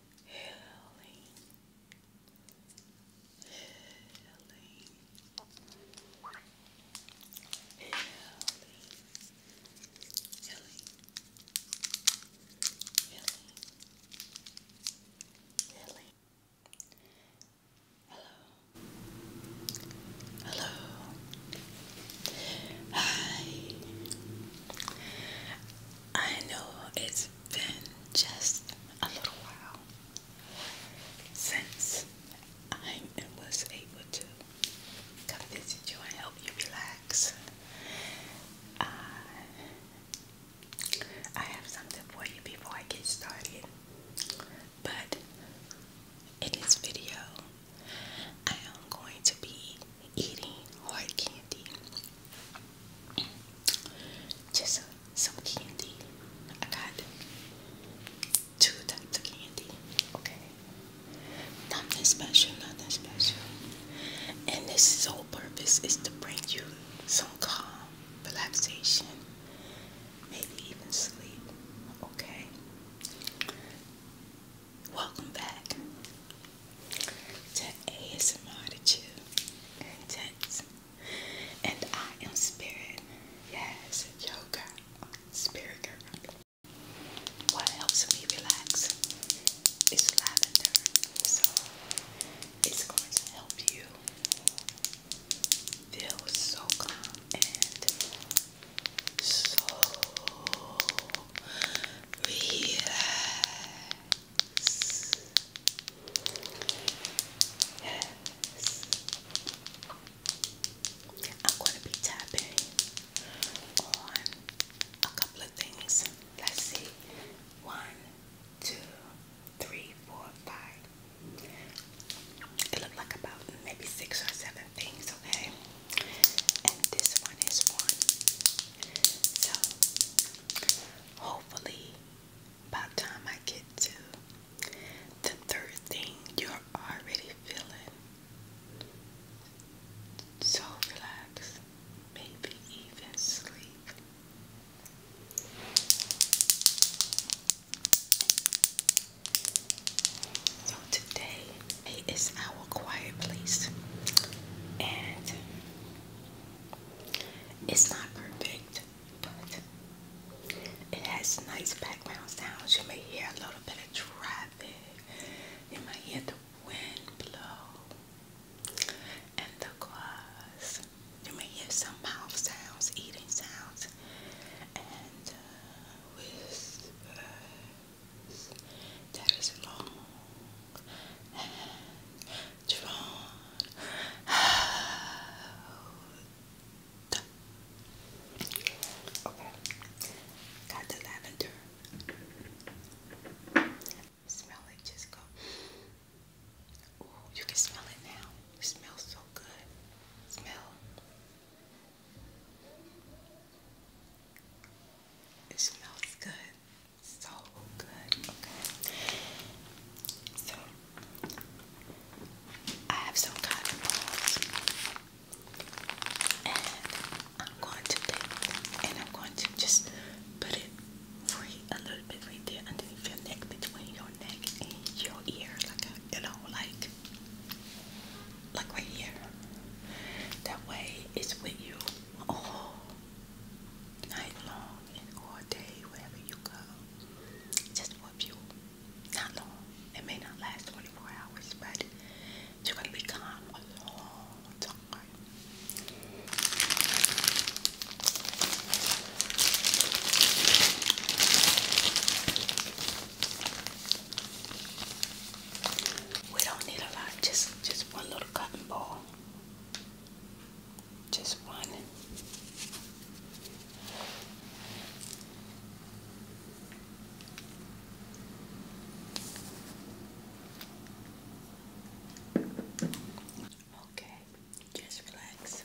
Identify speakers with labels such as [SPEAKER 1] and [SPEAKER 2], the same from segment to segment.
[SPEAKER 1] healing, healing, healing, healing, Hello. Hello. Hi. I know it's been just a little while since I was able to come visit you and help you relax. Uh, I have something for you before I get started, but in this video, I am going to be eating hard candy. Just some candy. I got two types of candy. Okay. Nothing special, nothing special. And this whole purpose is to bring you some calm, relaxation, maybe even sleep. Okay. Welcome back to ASMR to you, And I am Spirit. Yes, yoga. Spirit girl. What helps me relax is lavender. So it's going to help you feel so calm and so Relax. Yes. I'm going to be tapping on a couple of things. Let's see. One, two, three, four, five. It looked like about maybe six or seven things, okay? and this one is one. So hopefully by time I get to the third thing you're already feeling so relaxed, maybe even sleep. So today it is our quiet place. And it's not perfect, but it has nice background sounds. You may hear a little bit of traffic. You might hear the wind blow and the cars. You may hear some mouth sounds, eating sounds, and uh, that is long and drawn Okay, got the lavender. Smell it, just go. Ooh, you can smell it now. smells so good. Smell. It smells good. So good. Okay. So I have some cotton balls and I'm going to take and I'm going to just put it free a little bit right there underneath your neck between your neck and your ear like you know like like right here. That way it's with you all night long and all day, wherever you go. Just for you. Not long. It may not last 24 hours, but you're going to be calm a long time. We don't need a lot, just just one little cotton ball. Just one. Okay, just relax.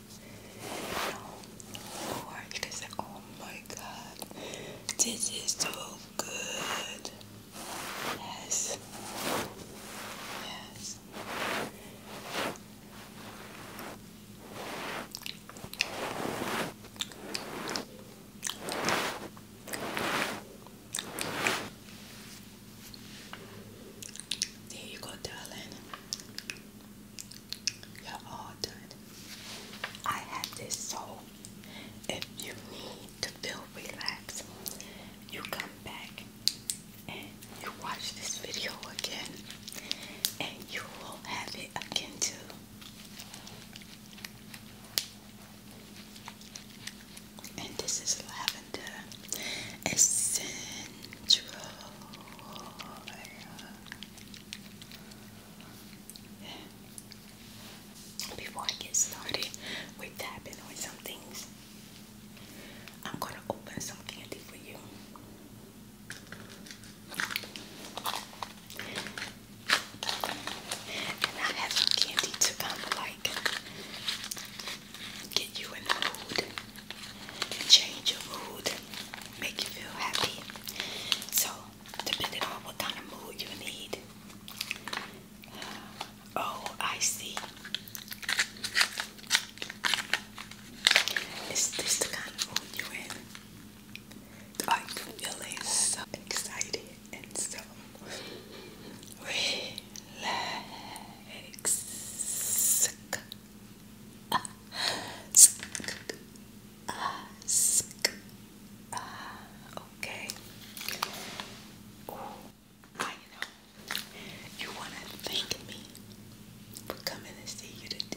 [SPEAKER 1] oh my god, this is so good. Yes. Yes. There you go, darling. You're all done. I have this soul. If you need to feel relaxed, you come back and you watch this video again, and you will have it again too. And this is lavender. Uh, essential Before I get started with tapping on some things, I'm gonna open some candy for you. And I have some candy to um, kind get you in the mood, change your mood, make you feel happy. So, depending on what kind of mood you need. Oh, I see. Is this the kind of mood you're in? Are you feeling so excited and so red legs. Okay. I know. You want to thank me for coming to see you today.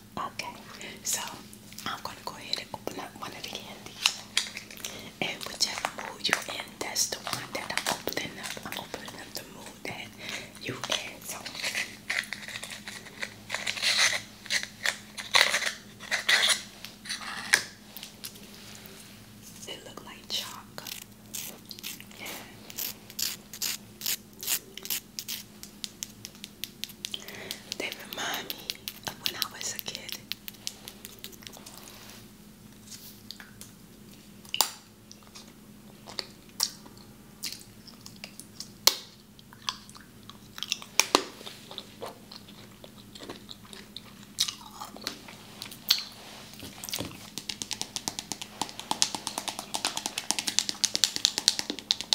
[SPEAKER 1] Okay, so I'm gonna go ahead and open up one of the candies. And whichever mood you're in, that's the one that I'm opening up. I'm opening up the mood that you in. So it look like chalk. They remind me of when I was a kid.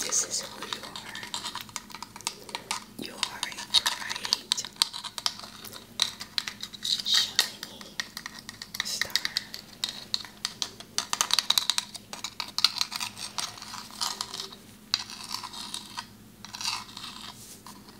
[SPEAKER 1] This is who you are. You are a bright, shiny star.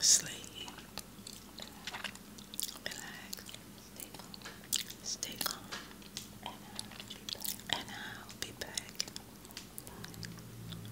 [SPEAKER 1] Sleep. Relax. Stay calm. Stay calm. And I'll be back. And I'll be back.